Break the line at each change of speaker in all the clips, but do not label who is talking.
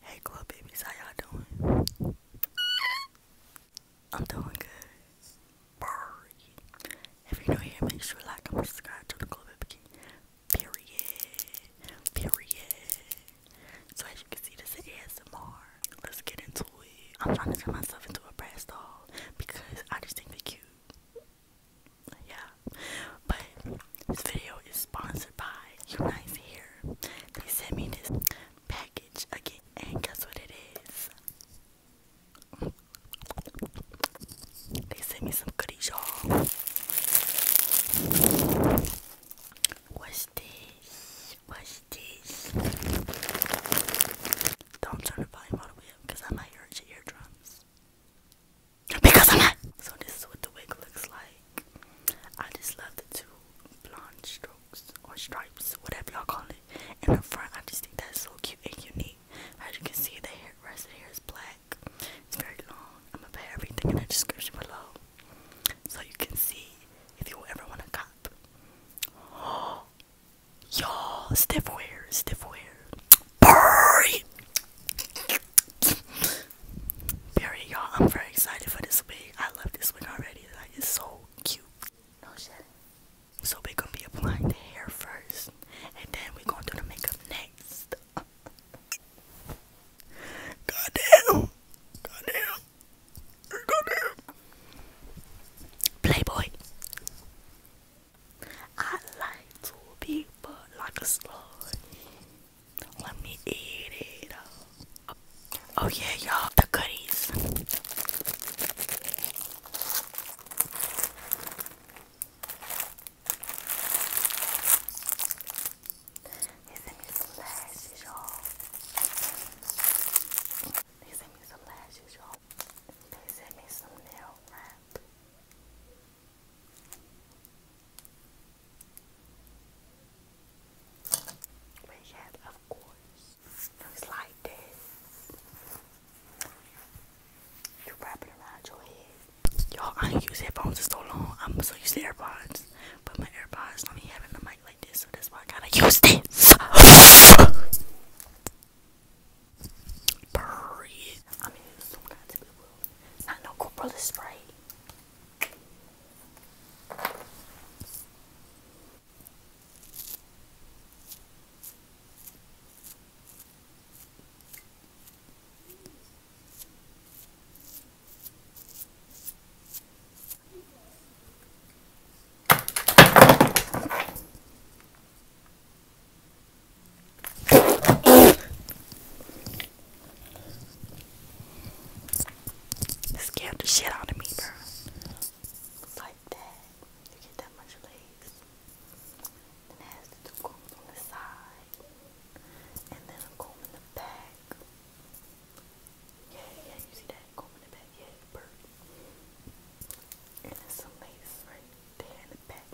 Hey club babies, how y'all doing? I'm doing good. If you're new here, make sure you like and subscribe to the club baby. Period. Period. So as you can see, this is ASMR. Let's get into it. I'm trying to turn myself into a brass doll because I just think they're cute. Yeah. But this video is sponsored by Unite Here. They sent me this package again, and guess what it is? They sent me some goodies, What's this? What's this? Don't turn the volume all the way because I might hurt your eardrums. Because I'm not. So this is what the wig looks like. I just love the two blonde strokes or stripes, whatever y'all call it. And up front, I just think that's so cute and unique. As you can see, the hair, rest of the hair is black. It's very long. I'm gonna put everything in the description below, so you can see if you ever want to cop. y'all, stiff wear, stiff wear. Burry. Period, y'all. I'm very excited for this wig. I love this wig already. Like it's so cute. No shit. So we're gonna be applying the hair first, and then we're gonna do the makeup next. Goddamn! Goddamn! Goddamn! Playboy. I like to be but like a slug. Let me eat it Oh yeah, y'all, the goodies. They sent me some lashes, y'all. They sent me some lashes, y'all. They sent me some nail wrap. But yet, of course, looks like this. You wrap around your head. Y'all, I ain't use headphones in so long. I'm going so used the AirPods, but my AirPods don't even have the mic like this, so that's why I gotta use this. Period. That not called Brother Spray. Scared the shit out of me, bro. Like that. You get that much lace. And it has two combs on the side. And then a comb in the back. Yeah, yeah, you see that comb in the back? Yeah, bird. And there's some lace right there in the back.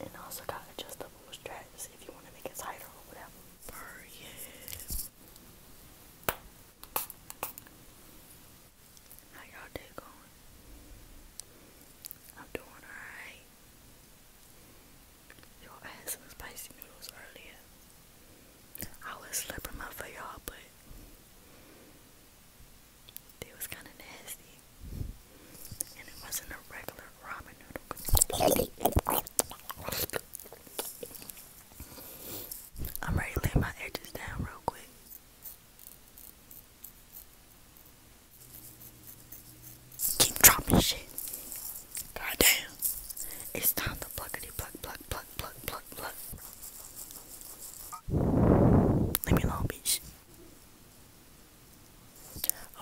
And also got adjustable straps if you want to make it tighter or whatever. yes. How y'all day going? I'm doing alright. Y'all had some spicy noodles earlier. I was slipping up for y'all, but it was kind of nasty. And it wasn't a regular ramen noodle. I'm ready to lay my edges down real quick. Keep dropping shit. God It's time to pluckety pluck, pluck, pluck, pluck, pluck, pluck. Leave me alone, bitch.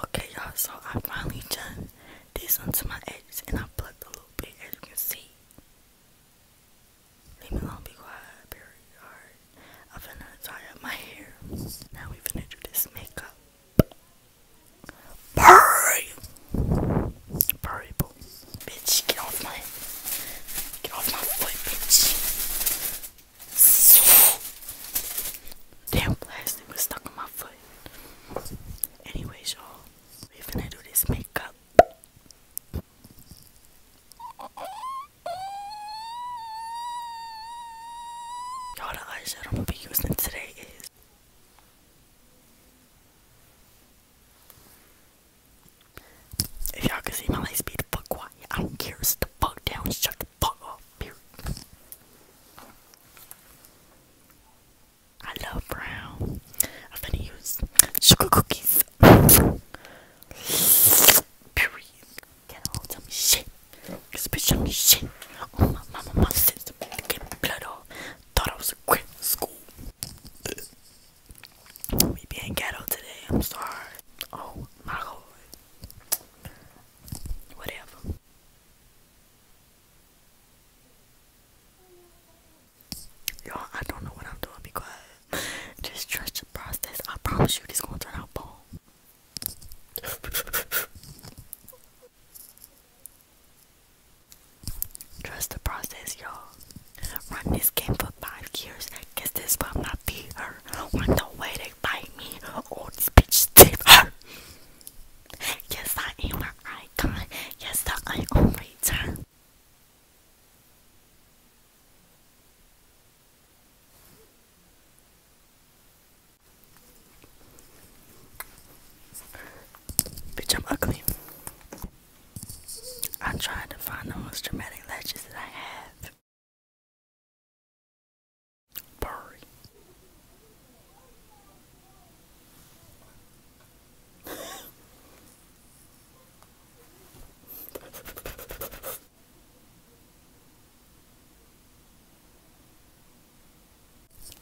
Okay, y'all, so I finally done this onto my edges and I plucked a little bit, as you can see. Leave me alone, be quiet, period. Alright, I'm finna tie up my hair. Now we finna do this makeup. Purry! Purry, boo. Bitch, get off my, get off my foot, bitch. Damn plastic was stuck in my foot. Anyways, y'all, we finna do this makeup. Y'all, the eyeshadow I'm gonna be using today is. If y'all can see my legs, be the fuck quiet. I don't care. Sit the fuck down. Shut the fuck up. I love brown. I'm going use sugar cookies. Period. Can't all tell me shit. This bitch tell me shit. Oh my mama, my sister, get blood off. Thought I was a quit school. we being ghetto today. I'm sorry. Oh my god. Whatever. Y'all, I don't know what I'm doing because just trust the process. I promise you this gonna turn out bomb. Trust the process, y'all. Run this game for five years. Guess this will not be her. What the way they bite me? Oh, this bitch teeth Yes, I am an icon. Yes, I am return. Bitch, I'm ugly. I tried to find the most dramatic lashes that I have. Burry.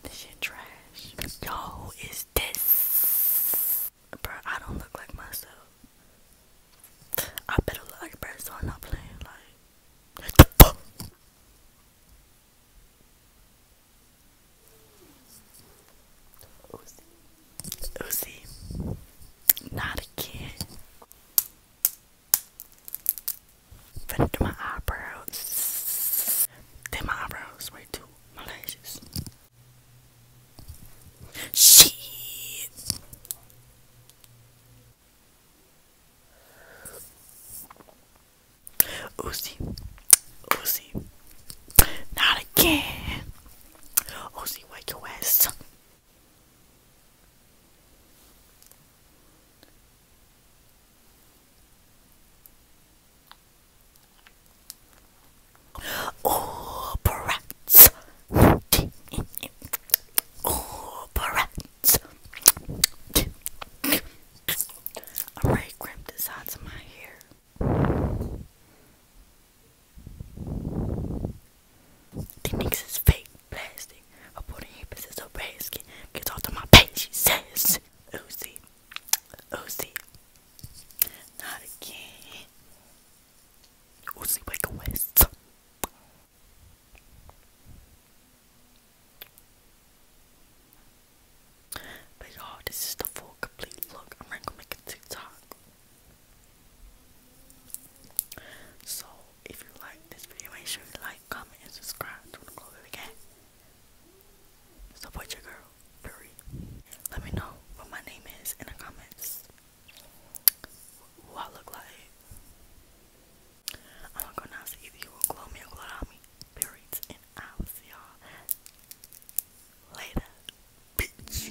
this shit trash. Yo, is this? Bro, I don't look like myself. I better look like a bird, so I'm not playing. Like, what the fuck? Uzi. Uzi. Not again. Finna do my eyebrows. Then my eyebrows way too. My Shit. Uzi, not again. Uzi, wake Oh, Operettes. I already crimped the sides of my hair. The niggas fake plastic. I put a hip is a basket. Gets off to my face, she says. Oozy. Oozy. Not again. But y'all, this is the full complete look. I'm gonna make a TikTok. So if you like this video, make sure you like, comment, and subscribe. Don't close again. Support your girl. Period. Let me know what my name is in the comments who I look like. I'm gonna see if you will glow me or glow on me. Periods, and I y'all later, bitch.